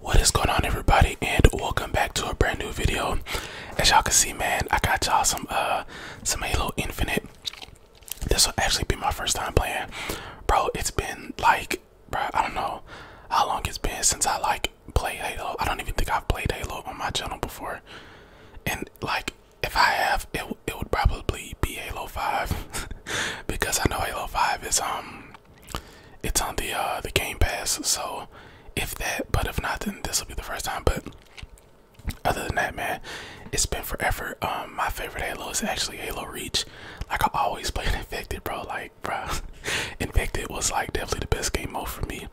What is going on everybody and welcome back to a brand new video. As y'all can see man, I got y'all some uh some Halo Infinite. This will actually be my first time playing. Bro, it's been like bro, I don't know how long it's been since I like played Halo. I don't even think I've played Halo on my channel before. And like if I have it it would probably be Halo 5 because I know Halo 5 is um it's on the uh the Game Pass, so if that, but if not, then this will be the first time. But other than that, man, it's been forever. Um, my favorite Halo is actually Halo Reach. Like I always played Infected, bro. Like, bro, Infected was like definitely the best game mode for me.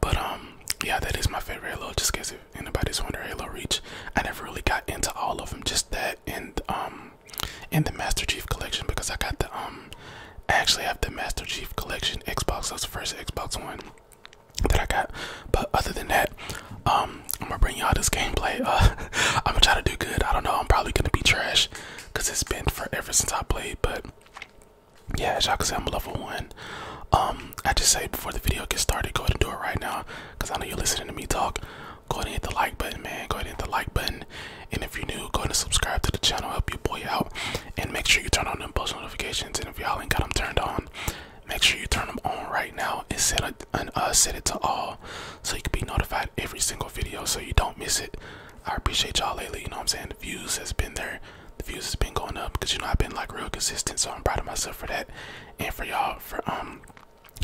But um, yeah, that is my favorite Halo. Just in case if anybody's wondering, Halo Reach. I never really got into all of them. Just that and um, in the Master Chief Collection because I got the um. I actually have the Master Chief Collection Xbox. That the first Xbox One that I got. But other than that, um, I'm gonna bring y'all this gameplay. Uh, I'm gonna try to do good. I don't know. I'm probably gonna be trash because it's been forever since I played. But yeah, as y'all can see, I'm level one. Um, I just say before the video gets started, go ahead and do it right now because I know you're listening to me talk go ahead and hit the like button, man. Go ahead and hit the like button. And if you're new, go ahead and subscribe to the channel, help your boy out. And make sure you turn on the post notifications. And if y'all ain't got them turned on, make sure you turn them on right now and set it, and, uh, set it to all so you can be notified every single video so you don't miss it. I appreciate y'all lately, you know what I'm saying? The views has been there. The views has been going up because you know I've been like real consistent, so I'm proud of myself for that and for y'all for um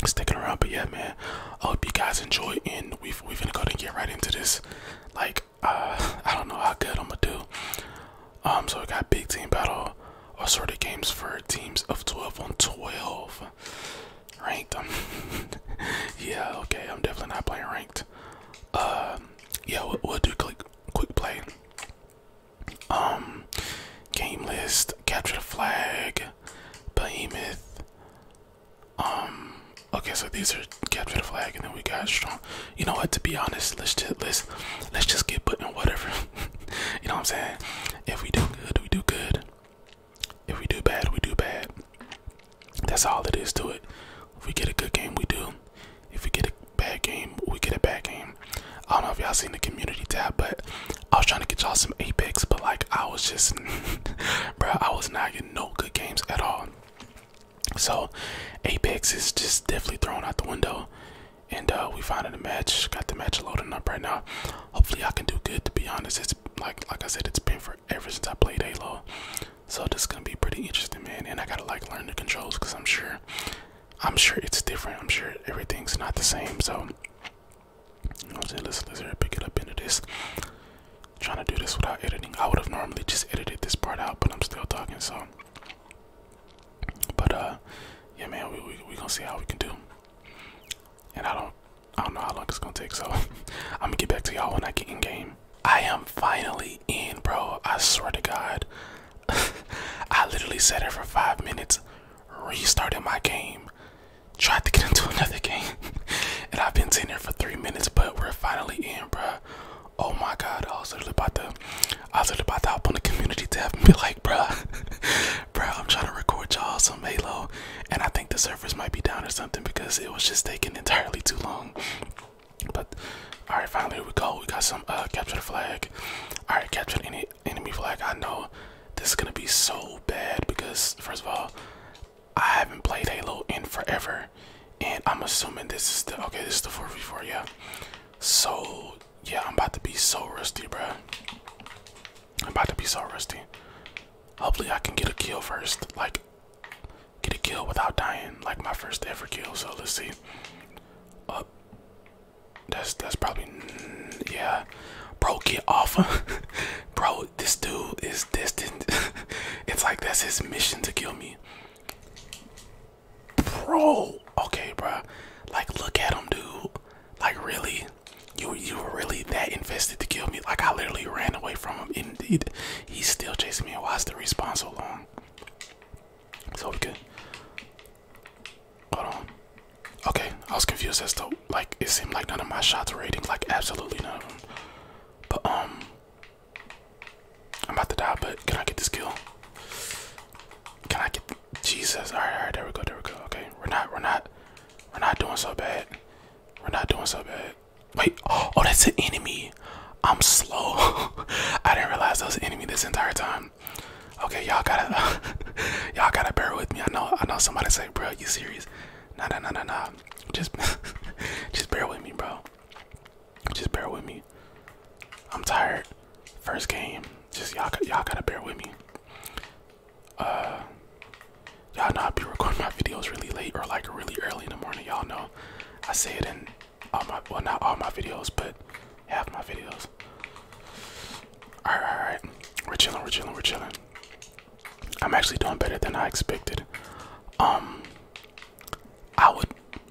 sticking around. But yeah, man, I hope you guys enjoy. And we've we're gonna go and get right into this. Like, uh, I don't know how good I'm gonna do. Um, so we got big team battle or sort of games for teams of 12 on 12 ranked um, yeah okay i'm definitely not playing ranked Um, yeah we'll, do quick quick play um game list capture the flag behemoth um. Okay, so these are capture the flag, and then we got strong. You know what? To be honest, let's just let's let's just get put in whatever. you know what I'm saying? If we do good, we do good. If we do bad, we do bad. That's all it is to it. If we get a good game, we do. If we get a bad game, we get a bad game. I don't know if y'all seen the community tab, but I was trying to get y'all some Apex, but like I was just, bro, I was not getting no good games at all. So Apex is just definitely thrown out the window. And uh, we found a match, got the match loading up right now. Hopefully I can do good to be honest. It's like like I said, it's been forever since I played Halo. So this gonna be pretty interesting man and I gotta like learn the controls because I'm sure I'm sure it's different. I'm sure everything's not the same. So you know what I'm saying? Let's let's here pick it up into this. Trying to do this without editing. I would have normally just edited this part out, but I'm still talking, so but uh yeah man we we gonna see how we can do. And I don't I don't know how long it's gonna take, so I'm gonna get back to y'all when I get in game. I am finally in, bro. I swear to God. I literally sat there for five minutes, restarted my game, tried to get into another game. and I've been sitting there for three minutes, but we're finally in, bruh. Oh my god, I was literally about to I was literally about to hop on the community tab and be like, bruh, bruh, I'm trying to record y'all some Halo. And I think the servers might be down or something because it was just taking entirely too long. But alright, finally we go. We got some uh capture the flag. Alright, capture any enemy flag. I know this is gonna be so bad because first of all, I haven't played Halo in forever, and I'm assuming this is the okay. This is the four v four, yeah. So yeah, I'm about to be so rusty, bro. I'm about to be so rusty. Hopefully, I can get a kill first, like get a kill without dying, like my first ever kill. So let's see. Up. Uh, that's that's probably yeah bro, get off him, bro. This dude is distant. it's like that's his mission to kill me, bro. Okay, bro. Like, look at him, dude. Like, really, you you were really that invested to kill me? Like, I literally ran away from him. Indeed, he's still chasing me. Why's the response so long? So good. could. on. Okay, I was confused as to like it seemed like none of my shots were hitting, like absolutely none But um I'm about to die, but can I get this kill? Can I get Jesus? Alright, alright, there we go, there we go. Okay. We're not we're not we're not doing so bad. We're not doing so bad. Wait, oh that's an enemy. I'm slow. I didn't realize that was an enemy this entire time. Okay, y'all gotta y'all gotta bear with me. I know I know somebody say, bro, you serious? Nah, nah, nah, nah, nah. Just, just bear with me, bro. Just bear with me. I'm tired. First game. Just y'all, y'all gotta bear with me. Uh, y'all know I be recording my videos really late or like really early in the morning. Y'all know. I say it in all my, well, not all my videos, but half my videos. right, all right. We're chilling. We're chilling. We're chilling. I'm actually doing better than I expected. Um, I would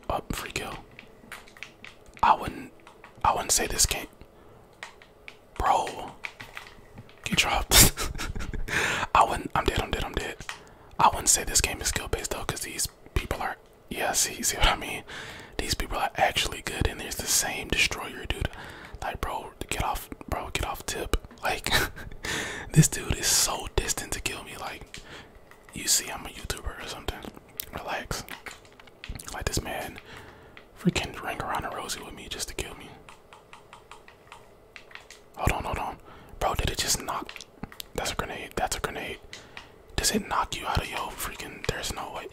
up free kill. I wouldn't. I wouldn't say this game, bro. Get dropped. I wouldn't. I'm dead. I'm dead. I'm dead. I wouldn't say this game is skill based though, because these people are. Yeah, see, see what I mean. These people are actually good, and there's the same destroyer, dude. Like, bro, get off, bro, get off tip. Like, this dude is so distant to kill me. Like, you see, I'm a YouTuber or something. Relax. Like, this man freaking ring around a rosy with me just to kill me. Hold on, hold on. Bro, did it just knock? That's a grenade. That's a grenade. Does it knock you out of your freaking? There's no way.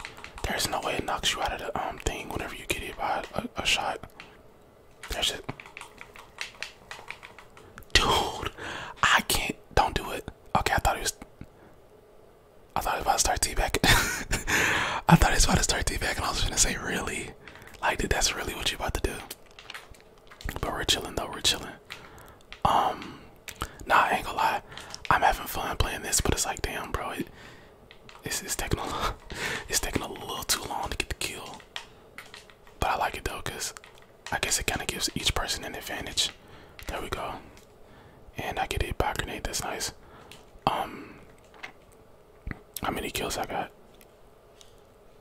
There's no way it knocks you out of the um thing whenever you get hit by a, shot. There's it. Dude, I can't. Don't do it. Okay, I thought it was. I thought it was about to start T-back. I thought it was about to start T-back, and I was gonna say, really? Like, that's really what you are about to do? But we're chilling, though. We're chilling. Um, nah, I ain't gonna lie. I'm having fun playing this, but it's like, damn, bro. It's, it's taking a it's taking a little too long to get the kill, but I like it though because I guess it kind of gives each person an advantage. There we go, and I get hit by a grenade. That's nice. Um, how many kills I got?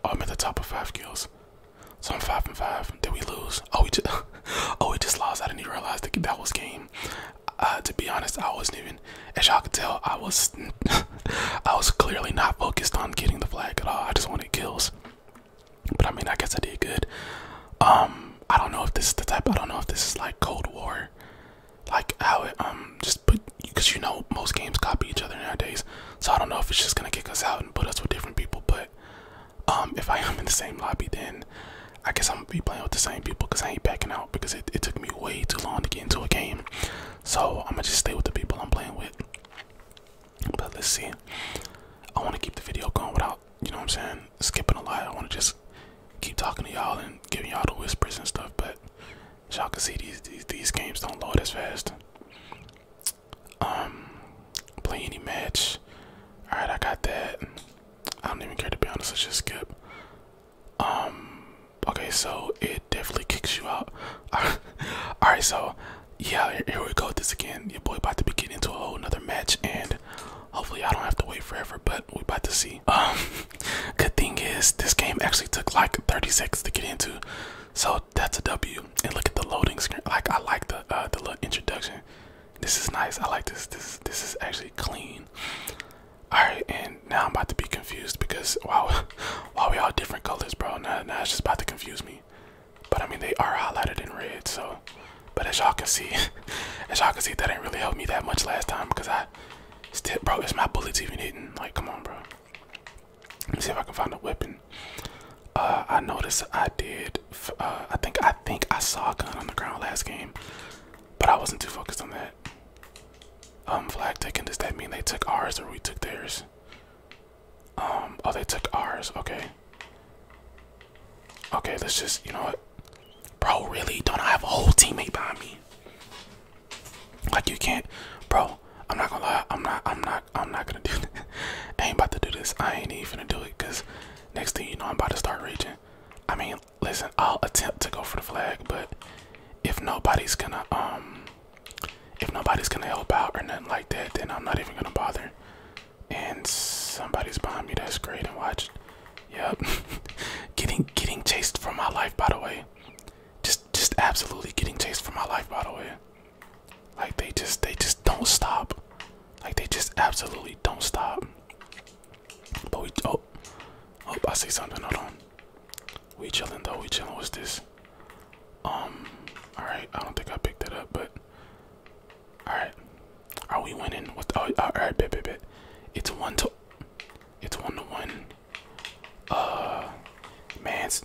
Oh, I'm at the top of five kills, so I'm five and five. Did we lose? Oh, we just oh we just lost. I didn't even realize that that was game. Uh, to be honest, I wasn't even as y'all can tell, I was I was clearly not focused on getting the flag at all. I just wanted kills. But I mean, I guess I did good. Um, I don't know if this is the type. I don't know if this is like Cold War, like how it um just put because you know most games copy each other nowadays. So I don't know if it's just gonna kick us out and put us with different people. But um, if I am in the same lobby, then I guess I'm gonna be playing with the same people because I ain't backing out because it, it took me way too long to get into a game. So I'm gonna just stay with the people I'm playing with. But let's see. I wanna keep the video going without, you know what I'm saying, skipping a lot. I wanna just keep talking to y'all and giving y'all the whispers and stuff, but y'all can see these, these these games don't load as fast. Um play any match. Alright, I got that. I don't even care to be honest. Let's just skip. Um. Okay, so it definitely kicks you out. All right, so yeah, here, we go. this again, your boy about to be into a whole another match, and hopefully I don't have to wait forever. But we about to see. Um. Good thing is this game actually took like 30 seconds to get into, so that's a W. And look at the loading screen. Like I like the uh, the little introduction. This is nice. I like this. This this is actually clean. All right, and now I'm about to be confused because wow, wow, we all different colors, bro. Nah, nah, it's just about to confuse me. But I mean, they are highlighted in red, so. But as y'all can see, as y'all can see, that didn't really help me that much last time because I still, bro, is my bullets even hitting? Like, come on, bro. Let us see if I can find a weapon. Uh, I noticed I did. Uh, I think I think I saw a gun on the ground last game. But I wasn't too focused on that. Um, flag taken. Does that mean they took ours or we took theirs? Um, oh, they took ours. Okay. Okay, let's just, you know what? Bro, really? Don't I have a whole teammate behind me? Like, you can't, bro. I'm not gonna lie. I'm not, I'm not, I'm not gonna do that. I ain't about to do this. I ain't even gonna do it because next thing you know, I'm about to start raging. I mean, listen, I'll attempt to go for the flag, but if nobody's gonna um if nobody's gonna help out or nothing like that, then I'm not even gonna bother. And somebody's behind me that's great and watch. Yep. getting getting chased for my life by the way. Just just absolutely getting chased for my life by the way. Like they just they just don't stop. Like they just absolutely don't stop. But we oh oh I see something, hold on. We chilling though, we chilling, what's this? Um, alright, I don't think I picked it up, but alright. Are we winning? What oh alright, bit bit bit It's one to it's one to one. Uh man's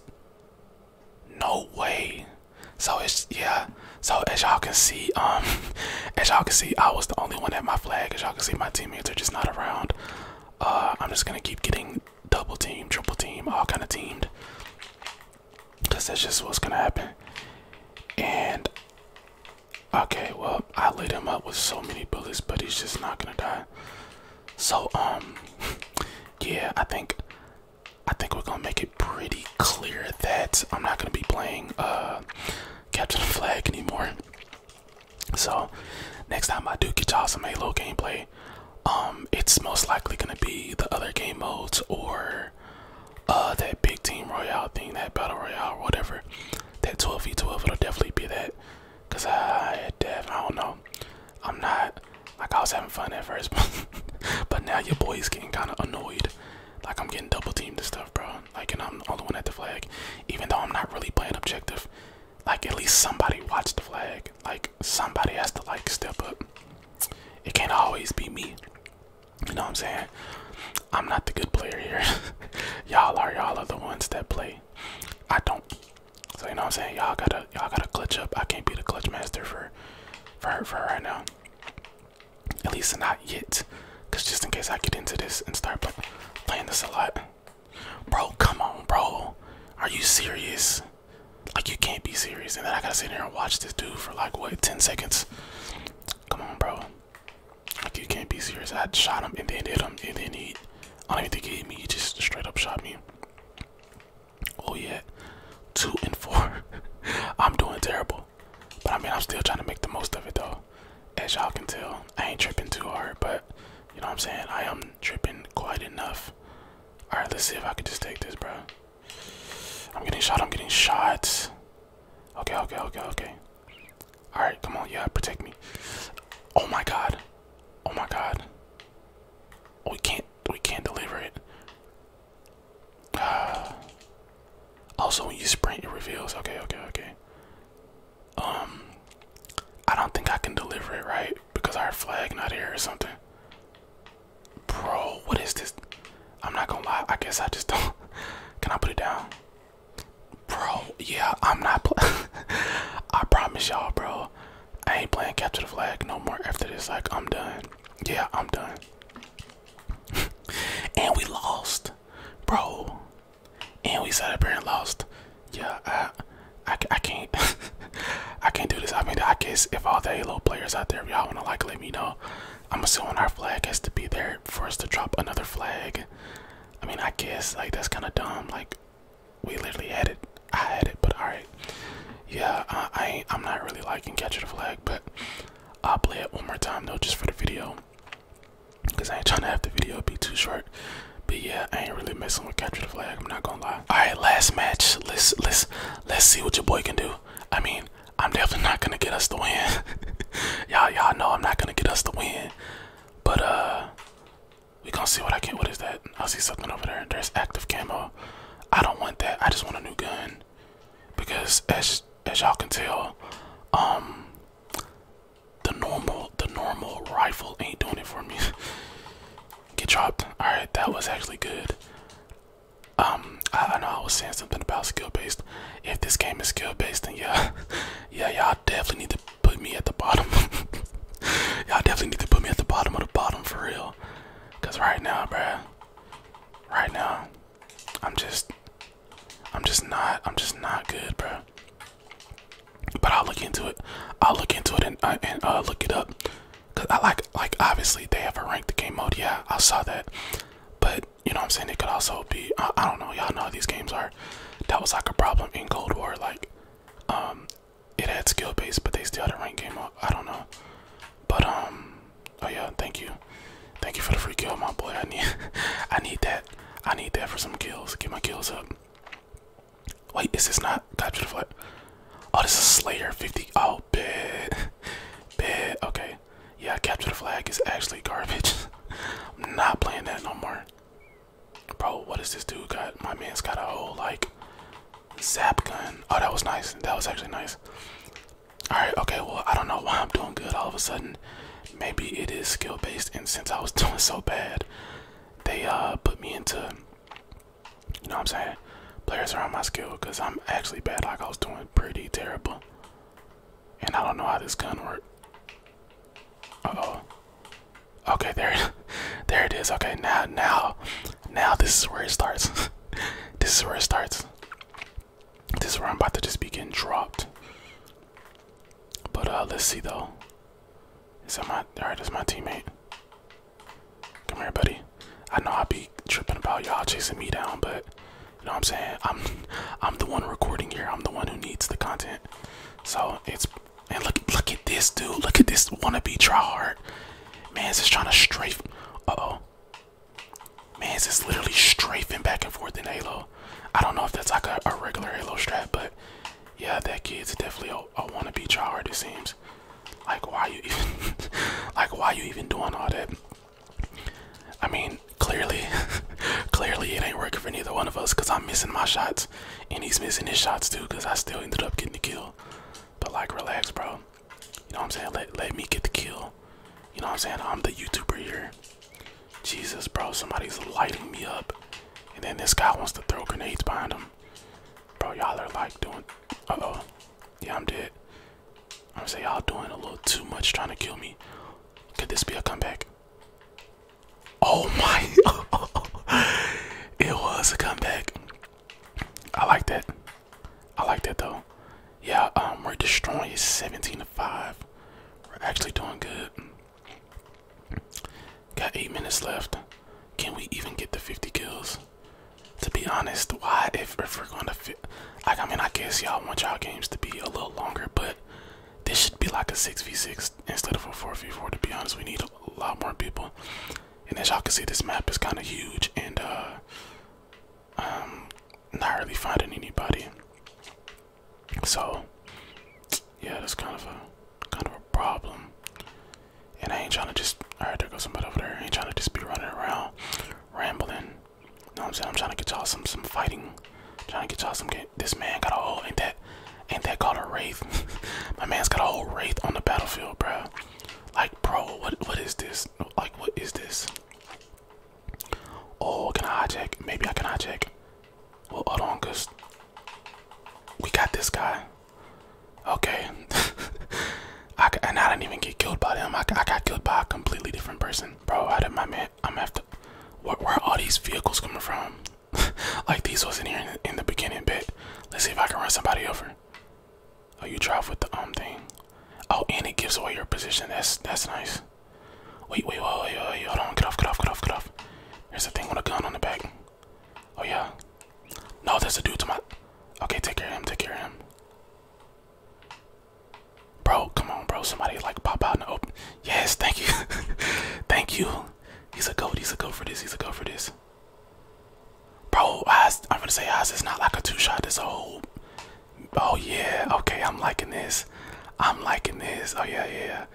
no way. So it's yeah, so as y'all can see, um, as y'all can see, I was the only one at my flag. As y'all can see, my teammates are just not around. Uh, I'm just gonna keep getting double team, triple team, all kind of teamed, cause that's just what's gonna happen. And okay, well, I laid him up with so many bullets, but he's just not gonna die. So um, yeah, I think I think we're gonna make it pretty clear that I'm not gonna be playing uh, Captain Flag anymore. So next time I do get y'all some Halo gameplay, um, it's most likely gonna be the other game modes or uh that big team royale thing, that battle royale, or whatever. That 12v12, it'll definitely be that. Cause I, I don't know. I'm not like I was having fun at first, but now your boy's getting kind of annoyed like I'm getting double teamed and stuff, bro. Like and I'm the only one at the flag. Even though I'm not really playing objective. Like at least somebody watch the flag. Like somebody has to like step up. It can't always be me. You know what I'm saying? I'm not the good player here. y'all are y'all are the ones that play. I don't. So you know what I'm saying? Y'all gotta y'all gotta clutch up. I can't be the clutch master for for for right now. At least not yet. Cause just in case I get into this and start playing this a lot. Bro, come on, bro. Are you serious? Like you can't be serious. And then I gotta sit here and watch this dude for like what, 10 seconds? Come on, bro. Like you can't be serious. I shot him and then hit him and then he, I don't even think he hit me. He just straight up shot me. Oh yeah, two and four. I'm doing terrible. But I mean, I'm still trying to make the most of it though. As y'all can tell, I ain't tripping too hard, but you know what I'm saying? I am tripping quite enough. All right, let's see if I can just take this, bro. I'm getting shot. I'm getting shot. Okay, okay, okay, okay. All right, come on, yeah, protect me. Oh my God. Oh my God. We can't. We can't deliver it. also, when you sprint, it reveals. Okay, okay, okay. Um, I don't think I can deliver it right because our flag not here or something. Bro, what is this? I'm not gonna lie. I guess I just don't. Can I put it down? Bro, yeah, I'm not. playing. I promise y'all, bro. I ain't playing capture the flag no more after this. Like, I'm done. Yeah, I'm done. and we lost, bro. And we sat and lost. Yeah, I, I, I can't, I can't do this. I mean, I guess if all the Halo players out there, y'all wanna like let me know, I'm assuming our flag has to be there for us to drop another flag. I mean, I guess like that's kind of dumb. Like, we literally had it. I had it, but all right. Yeah, I, I ain't, I'm not really liking catching the flag, but I'll play it one more time though, just for the video, cause I ain't trying to have the video be too short. But yeah, I ain't really messing with capture the flag. I'm not gonna lie. All right, last match. Let's let's let's see what your boy can do. I mean, I'm definitely not gonna get us the win. y'all y'all know I'm not gonna get us the win, but uh, we gonna see what I can. What is that? I see something over there. There's active camo. I don't want that. I just want a new gun because as as y'all can tell, um, the normal the normal rifle ain't doing it for me. Get dropped. All right, that was actually good. Um, I, know I was saying something about skill based. If this game is skill based, then yeah, yeah, y'all definitely need to put me at the bottom. y'all definitely need to put me at the bottom of the bottom for real. Cause right now, bruh, right now, I'm just I'm just not I'm just not good, bro. But I'll look into it. I'll look into it uh, and uh, look it up. Cause I like like obviously they have a the game mode. Yeah, I saw that. But you know what I'm saying? It could also be I, don't know. Y'all know how these games are. That was like a problem in Cold War. Like um, it had skill base, but they still had a ranked game mode. I don't know. But um, oh yeah, thank you, thank you for the free kill, my boy. I need, I need that. I need that for some kills. Get my kills up. Wait, is this not capture the flag? Oh, this is Slayer 50. Oh, bad, bad. Okay, yeah, capture the flag is actually garbage. I'm not playing that no more. Bro, what is this dude got? My man's got a whole like zap gun. Oh, that was nice. That was actually nice. All right, okay, well, I don't know why I'm doing good all of a sudden. Maybe it is skill based, and since I was doing so bad, they uh put me into, you know what I'm saying, players around my skill because I'm actually bad, like I was doing pretty terrible. And I don't know how this gun worked. oh. Okay, there, there it is. Okay, now, now, now this is where it starts. this is where it starts. This is where I'm about to just be getting dropped. But uh let's see though. Is that my alright, that's my teammate. Come here, buddy. I know I will be tripping about y'all chasing me down, but you know what I'm saying? I'm I'm the one recording here. I'm the one who needs the content. So it's and look look at this dude. Look at this wannabe try hard. Man's just trying to strafe. oh. Man, it's literally strafing back and forth in Halo. I don't know if that's like a, regular Halo strap, but yeah, that kid's definitely a, a wannabe tryhard. It seems like why you even like why you even doing all that? I mean, clearly, clearly it ain't working for neither one of us because I'm missing my shots and he's missing his shots too because I still ended up getting the kill. But like, relax, bro. You know what I'm saying? Let let me get the kill. You know what I'm saying? I'm the YouTuber here. Jesus, bro, somebody's lighting me up. And then this guy wants to throw grenades behind him. Bro, y'all are like doing oh Yeah, I'm dead. I'm saying y'all doing a little too much trying to kill me. Could this be a comeback? Oh my it was a comeback. I like that. I like that though. Yeah, um, we're destroying 17 to 5. We're actually doing good. Got 8 minutes left. Can we even get the 50 kills? To be honest, why if, if we're going to fit? Like, I mean, I guess y'all want y'all games to be a little longer, but this should be like a 6v6 instead of a 4v4. To be honest, we need a lot more people. And as y'all can see, this map is kind of huge, and uh, um, not really finding anybody. So, yeah, that's kind of a kind of a problem. And I ain't trying to just. All right, there goes somebody over there. ain't trying to just be running around, rambling. You know what I'm saying? I'm trying to get y'all some some fighting. trying to get y'all some. Get, this man got a whole ain't that ain't that called a wraith? My man's got a whole wraith on the battlefield, bro. Like, bro, what what is this? Like, what is this? Oh, can I hijack? Maybe I can hijack. Well, hold on, cause we got this guy. Okay, I and I didn't even get killed by them. I, I got killed by a completely different person, bro. How did my man? I'm after. Where, where are all these vehicles coming from? like these wasn't here in, the beginning, bit. let's see if I can run somebody over. Oh, you drive with the um thing. Oh, and it gives away your position. That's that's nice. Wait, wait, wait, wait, wait, wait. hold on. Get off, get off, get off, get off. There's a thing with a gun on the back. Oh yeah. No, there's a dude to my. Okay, take care of him. Take care of him. Bro, come on, bro. Somebody like pop out and open. Yes, thank you, thank you. He's a goat. He's a goat for this. He's a goat for this. Bro, I'm gonna say Oz It's not like a two shot. It's a whole. Oh yeah, okay. I'm liking this. I'm liking this. Oh yeah, yeah,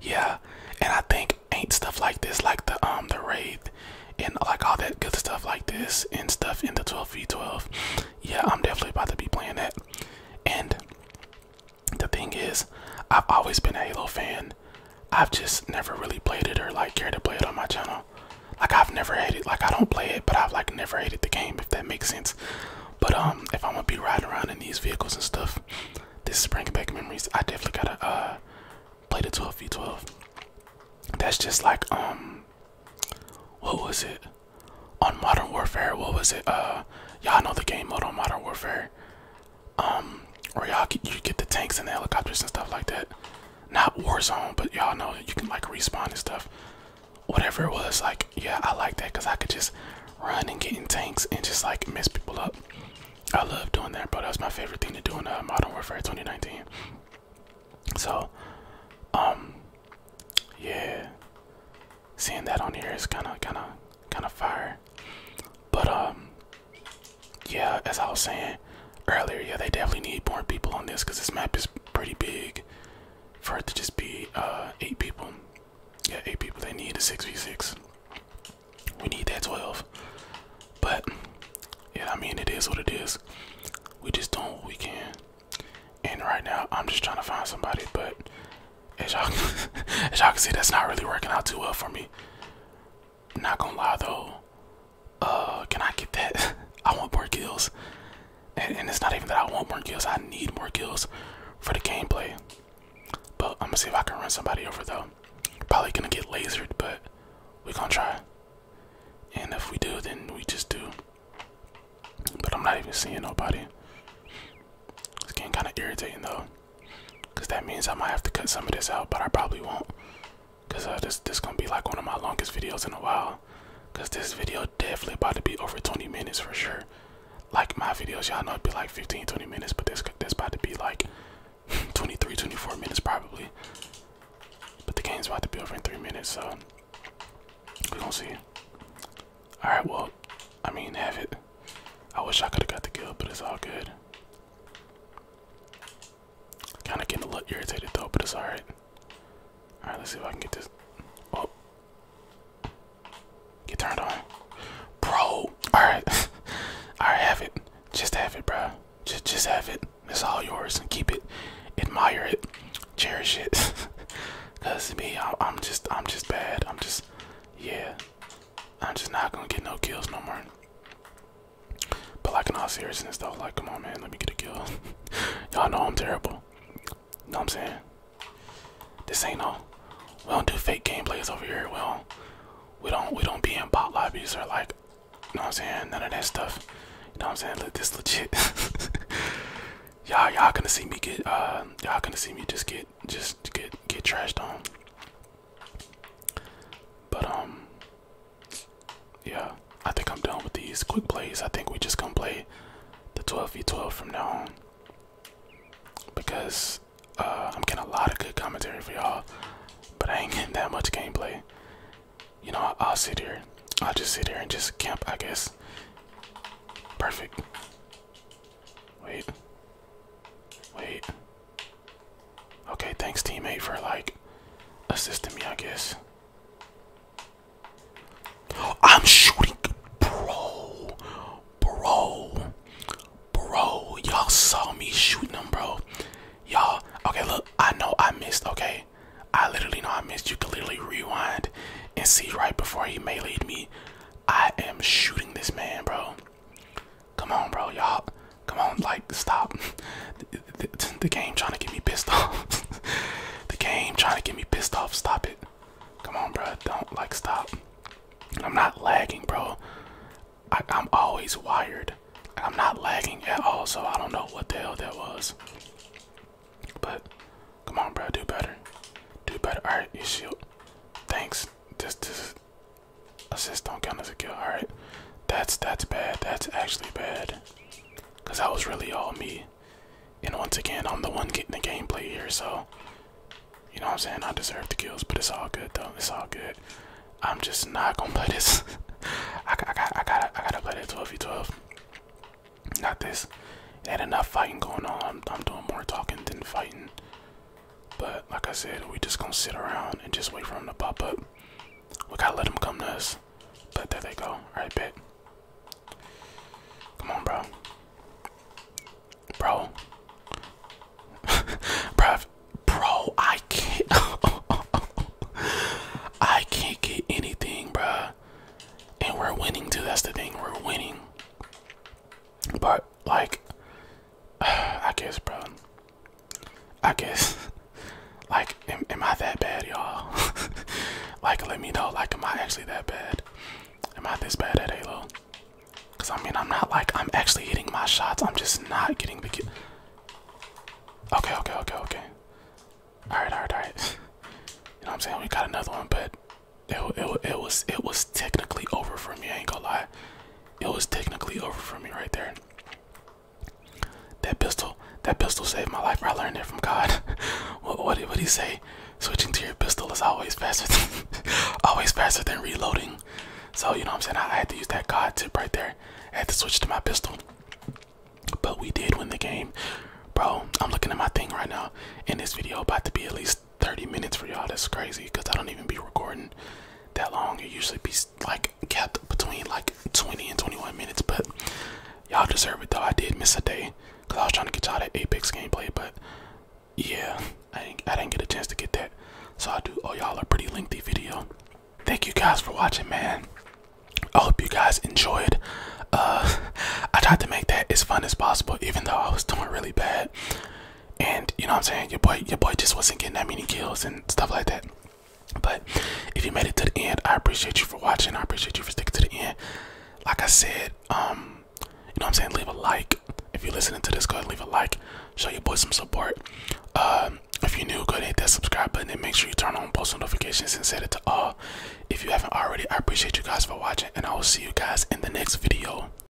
yeah. And I think ain't stuff like this, like the um the wraith, and like all that good stuff like this and stuff in the 12v12. Yeah, I'm definitely about to be playing that. And the thing is, I've always been a Halo fan. I've just never really played it or like cared to play it on my channel. Like I've never hated like I don't play it, but I've like never hated the game if that makes sense. But um if I'm gonna be riding around in these vehicles and stuff, this is bringing back memories. I definitely gotta uh play the 12v12. That's just like um what was it? On Modern Warfare, what was it? Uh y'all know the game mode on Modern Warfare. Um or y'all you get the tanks and the helicopters and stuff like that not Warzone, but y'all know you can like respawn and stuff. Whatever it was, like yeah, I like that because I could just run and get in tanks and just like mess people up. I love doing that, bro. That's my favorite thing to do in uh, Modern Warfare 2019. So, um, yeah, seeing that on here is kind of, kind of, kind of fire. But um, yeah, as I was saying earlier, yeah, they definitely need more people on this because this map is pretty big for it to just be uh, eight people. Yeah, eight people. They need a six v six. We need that twelve. But yeah, I mean it is what it is. We just doing what we can. And right now, I'm just trying to find somebody, but as y'all as y'all can see, that's not really working out too well for me. Not gonna lie though, uh, can I get that? I want more kills, and, it's not even that I want more kills. I need more kills for the gameplay. But I'm gonna see if I can run somebody over though. Probably gonna get lasered, but we gonna try. And if we do, then we just do. But I'm not even seeing nobody. It's getting kind of irritating though, because that means I might have to cut some of this out, but I probably won't. Cause uh, this this gonna be like one of my longest videos in a while. Cause this video definitely about to be over 20 minutes for sure. Like my videos, y'all know it'd be like 15, 20 minutes, but this this about to be like 23, 24 minutes probably. But the game's about to be over in three minutes, so we don't see. All right, well, I mean, have it. I wish I could have got the kill, but it's all good. Kind of getting a little irritated though, but it's alright. Alright, let's see if I can get this. Oh. Get turned on. Bro! Alright. Alright, have it. Just have it, bro. Just, just have it. It's all yours and keep it. Admire it. Cherish it. Cause me, I'm just, I'm just bad. I'm just, yeah. I'm just not gonna get no kills no more. But like in all seriousness though, like come on man, let me get a kill. Y'all know I'm terrible. Know what I'm saying? This ain't no we don't do fake gameplays over here. We don't we don't we don't be in bot lobbies or like you know what I'm saying, none of that stuff. You know what I'm saying? Look this legit Y'all y'all gonna see me get uh y'all gonna see me just get just get get trashed on. But um yeah, I think I'm done with these quick plays. I think we just gonna play the 12v12 from now on. Because uh, I'm getting a lot of good commentary for y'all, but I ain't getting that much gameplay. You know, I'll sit here. I'll just sit here and just camp, I guess. Perfect. Wait. Wait. Okay, thanks teammate for like assisting me, I guess. I'm shooting bro. Bro. Bro, y'all saw me shooting him, bro. Y'all, okay, look, I know I missed, okay? I literally know I missed. You can literally rewind and see right before he meleeed me. I am shooting this man, bro. Come on, bro, y'all. Come on, like, stop. The, game trying to get me pissed off. the game trying to get me pissed off. Stop it. Come on, bro. Don't, like, stop. I'm not lagging, bro. I, am always wired. I'm not lagging at all, so I don't know what the hell that was. But, come on, bro. Do better. Do better. Alright, you shield. Thanks. This, this, Assist don't count as a kill. Alright. That's that's bad. That's actually bad. Cause that was really all me. And once again, I'm the one getting the gameplay here, so you know what I'm saying? I deserve the kills, but it's all good though. It's all good. I'm just not gonna play this. I, got, I, I, I gotta I gotta play that 12v12. Not this. Had enough fighting going on. I'm doing more talking than fighting. But like I said, we just gonna sit around and just wait for them to pop up. We gotta let them come to us. But there they go. right bet. Come on, bro. Bro. bro, bro, I can't. I can't get anything, bro. And we're winning too. That's the thing. We're winning. But like I guess bro I guess like am, am I that bad y'all like let me know like am I actually that bad am I this bad at Halo cause I mean I'm not like I'm actually hitting my shots I'm just not getting the ki okay okay okay okay alright alright alright you know what I'm saying we got another one but it, it, it was it was technically over for me I ain't gonna lie it was technically over for me right there. That pistol, that pistol saved my life. I learned it from God. what what did he say? Switching to your pistol is always faster, than, always faster than reloading. So you know what I'm saying. I, had to use that God tip right there. I had to switch to my pistol. But we did win the game, bro. I'm looking at my thing right now. In this video, about to be at least 30 minutes for y'all. That's crazy because I don't even be recording that long. It usually be like kept between like 20 and 21 minutes, but y'all deserve it though. I did miss a day because I was trying to get y'all that Apex gameplay, but yeah, I didn't, I didn't get a chance to get that. So I do owe oh, y'all a pretty lengthy video. Thank you guys for watching, man. I hope you guys enjoyed. Uh, I tried to make that as fun as possible, even though I was doing really bad. And you know what I'm saying? Your boy, your boy just wasn't getting that many kills and stuff like that. But if you made it to the end, I appreciate you for watching. I appreciate you for sticking to the end. Like I said, um, you know what I'm saying? Leave a like. If you're listening to this, go ahead and leave a like. Show your boy some support. Um, if you're new, go ahead and hit that subscribe button and make sure you turn on post notifications and set it to all. If you haven't already, I appreciate you guys for watching and I will see you guys in the next video.